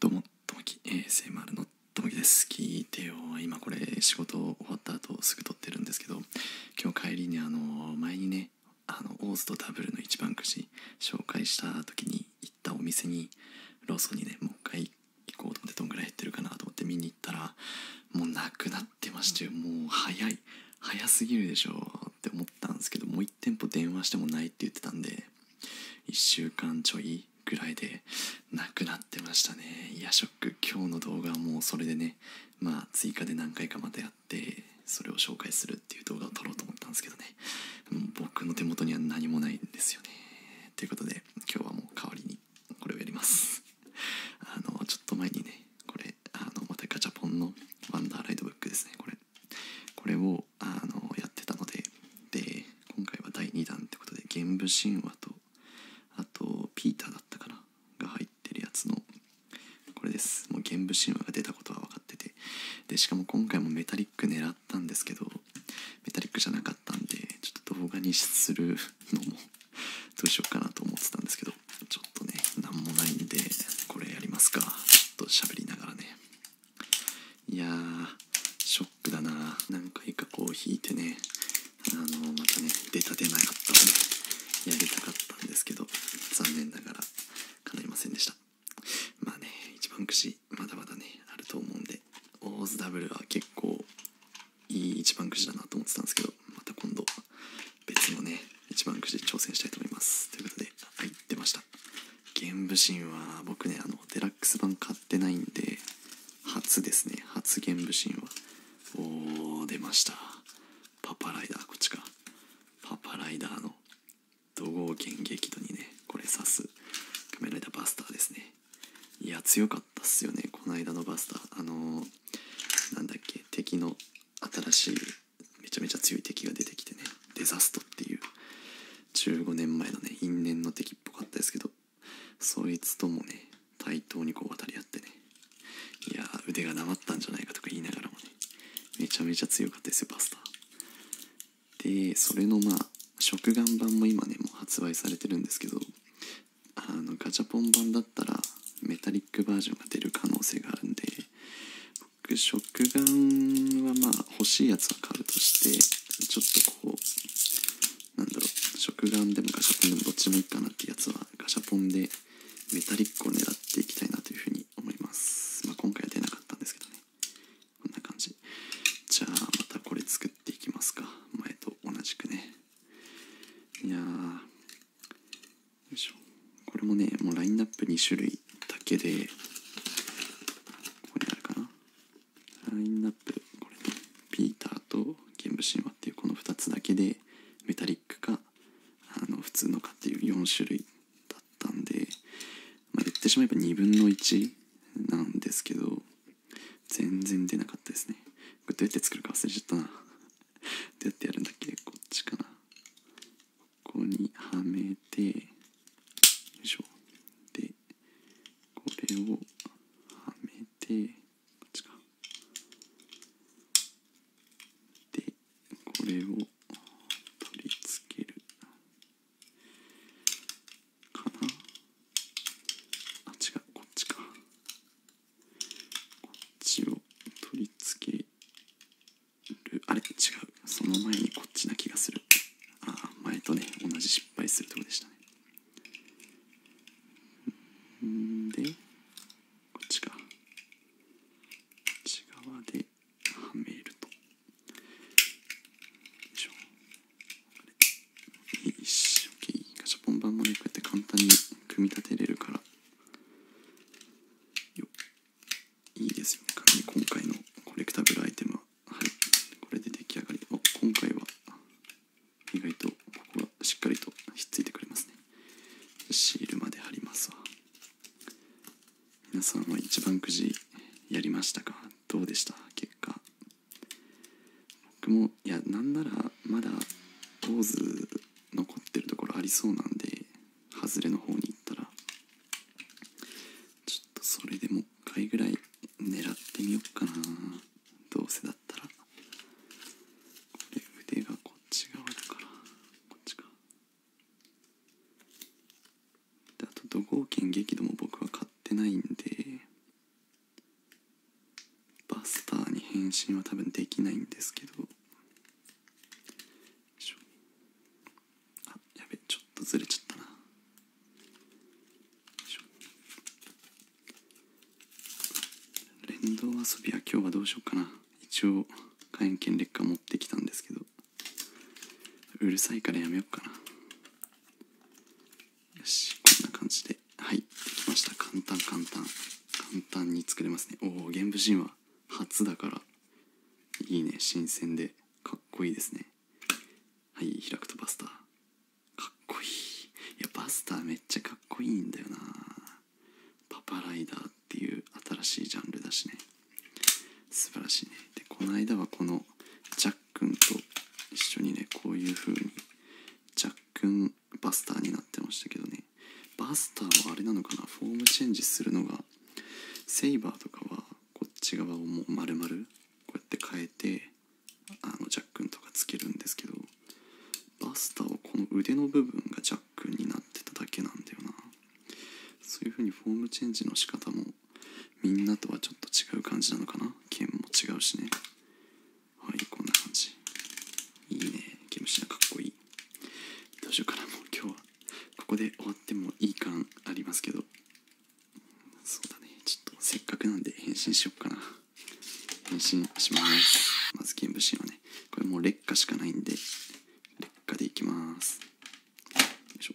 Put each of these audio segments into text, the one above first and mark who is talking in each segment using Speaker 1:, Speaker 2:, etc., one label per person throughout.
Speaker 1: どうもともき ASMR のともきです聞いてよ今これ仕事終わった後すぐ撮ってるんですけど今日帰りにあの前にねあのオーズとダブルの一番くじ紹介した時に行ったお店にローソンにねもう一回行こうと思ってどんぐらい減ってるかなと思って見に行ったらもうなくなってましてもう早い早すぎるでしょって思ったんですけどもう1店舗電話してもないって言ってたんで1週間ちょいぐらいでなくなってましたねいやショック今日の動画はもうそれでねまあ追加で何回かまたやってそれを紹介するっていう動画を撮ろうと思ったんですけどね僕の手元には何もないんですよねということで今日はもう代わりにこれをやります あのちょっと前にねこれあのまたガチャポンのワンダーライドブックですねこれこれをあのやってたのでで今回は第2弾ってことで「玄武神話」とあと「ピーター」だったかなが入ってるやつのこれですもう玄武神話が出たことは分かっててでしかも今回もメタリック狙ったんですけどメタリックじゃなかったんでちょっと動画にするのもどうしようかなと思ってたんですけどちょっとね何もないんでこれやりますかちょっと喋りながらねいやショックだな何回かこう引いてねあのまたね出た出なかったんで、やりたかったんですけど残念ながら叶いませんでしたまあね一番くじまだまだねあると思うんでオーズダブルは結構いい一番くじだなと思ってたんですけどまた今度別のね一番くじで挑戦したいと思いますということではい出ました玄武神は僕ねあのデラックス版買ってないんで初ですね初玄武神はおー出ましたパパライダーこっちかパパライダーの怒号剣激怒にねこれ刺す仮面られたバスターですねいや強かったっすよねこの間のバスターあのー、なんだっけ敵の新しいめちゃめちゃ強い敵が出てきてねデザストっていう15年前のね因縁の敵っぽかったですけどそいつともね対等にこう渡り合ってねいや腕がなまったんじゃないかとか言いながらもねめちゃめちゃ強かったですよバスターでそれのま食玩版も今ねもう発売されてるんですけどあのガチャポン版だったらメタリックバージョンが出る可能性があるんで僕食玩はまあ欲しいやつは買うとしてちょっとこうなんだろう食玩でもガシャポンでもどっちもいいかなってやつはガシャポンでメタリックを狙っていきたいなというふうに思いますま今回は出なかったんですけどねこんな感じじゃあまたこれ作っていきますか前と同じくねいやよいしょこれもねもうラインナップ2種類だけでここにあるかなラインナップこれピーターと玄武神話っていうこの2つだけでメタリックかあの普通のかっていう4種類だったんでまあ、言ってしまえば2分の1なんですけど全然出なかったですねこれどうやって作るか忘れちゃったなどうやってやるんだっけこっちかなここにはめてよいしょでこれをはめてこっちかでこれを取り付けるかなあ違うこっちかこっちを取り付けるあれ違うその前にこっちな気がするあ前とね同じ失敗するとこでしたねんでこっちかこっち側ではめると。よいしょよいしょオッケー。ガシャポン版もねこうやって簡単に組み立てれるからよいいですよねかに今回のコレクタブルアイテムはいこれで出来上がりお今回は意外とここはしっかりとひっついてくれますねシールまで貼りますわ皆さんは一番くじやりましたかどうでした結果僕もいやなんならまだポーズ残ってるところありそうなんで外れの方に行ったらちょっとそれでも1回ぐらい狙ってみよっかなどうせだったらこれ腕がこっち側だからこっちかあと土豪剣激怒も僕は買ってないんでバスターに変身は多分できないんですけどあやべちょっとずれちゃったな連動遊びは今日はどうしようかな一応火炎剣劣化持ってきたんですけどうるさいからやめよっかなよしこんな感じではいできました簡単簡単簡単に作れますねおお玄武神話初だからいいね新鮮でかっこいいですねはい開くとバスターかっこいいいやバスターめっちゃかっこいいんだよなパパライダーっていう新しいジャンルだしね素晴らしいねでこの間はこのジャックンと一緒にねこういう風にジャックンバスターになってましたけどねバスターはあれなのかなフォームチェンジするのがセイバーとかはこっち側をもう丸々こうやって変えてあのジャックンとかつけるんですけどバスターはこの腕の部分がジャックンになってただけなんだよなそういう風にフォームチェンジの仕方もみんなとはちょっと違う感じなのかな剣も違うしねはいこんな感じいいね毛虫がかっこいいどうしようかなもう今日はここで終わってもいい感ありますけどそうだねちょっとせっかくなんで変身しよっかな変身しますまず剣虫はねこれもう劣化しかないんで劣化でいきますよいしょ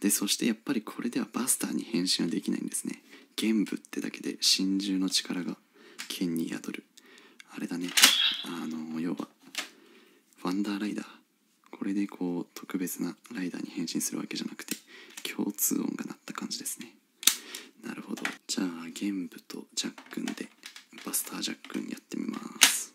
Speaker 1: でそしてやっぱりこれではバスターに変身はできないんですね玄武ってだけで真珠の力が剣に宿るあれだねあの要はワンダーライダーこれでこう特別なライダーに変身するわけじゃなくて共通音が鳴った感じですねなるほどじゃあ玄武とジャックンでバスタージャックンやってみます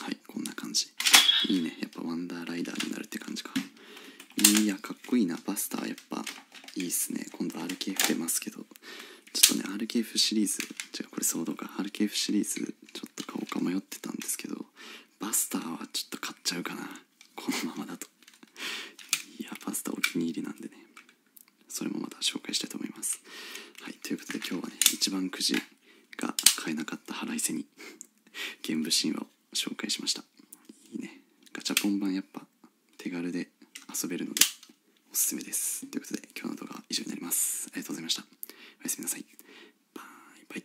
Speaker 1: はいこんな感じいいねやっぱワンダーライダーになるって感じかいやかっこいいなバスターやっぱいいっすね今度 RKF 出ますけどちょっとね RKF シリーズ違う。これソードか RKF シリーズちょっと買おか迷ってたんですけどバスターはちょっと買っちゃうかなこのままだといやバスターお気に入りなんでねそれもまた紹介したいと思いますはいということで今日はね一番くじが買えなかった腹いせに玄武神話を紹介しましたいいねガチャポン版やっぱ手軽で遊べるのでおすすめですということで今日の動画は以上になりますありがとうございましたおやすみなさいバイバイ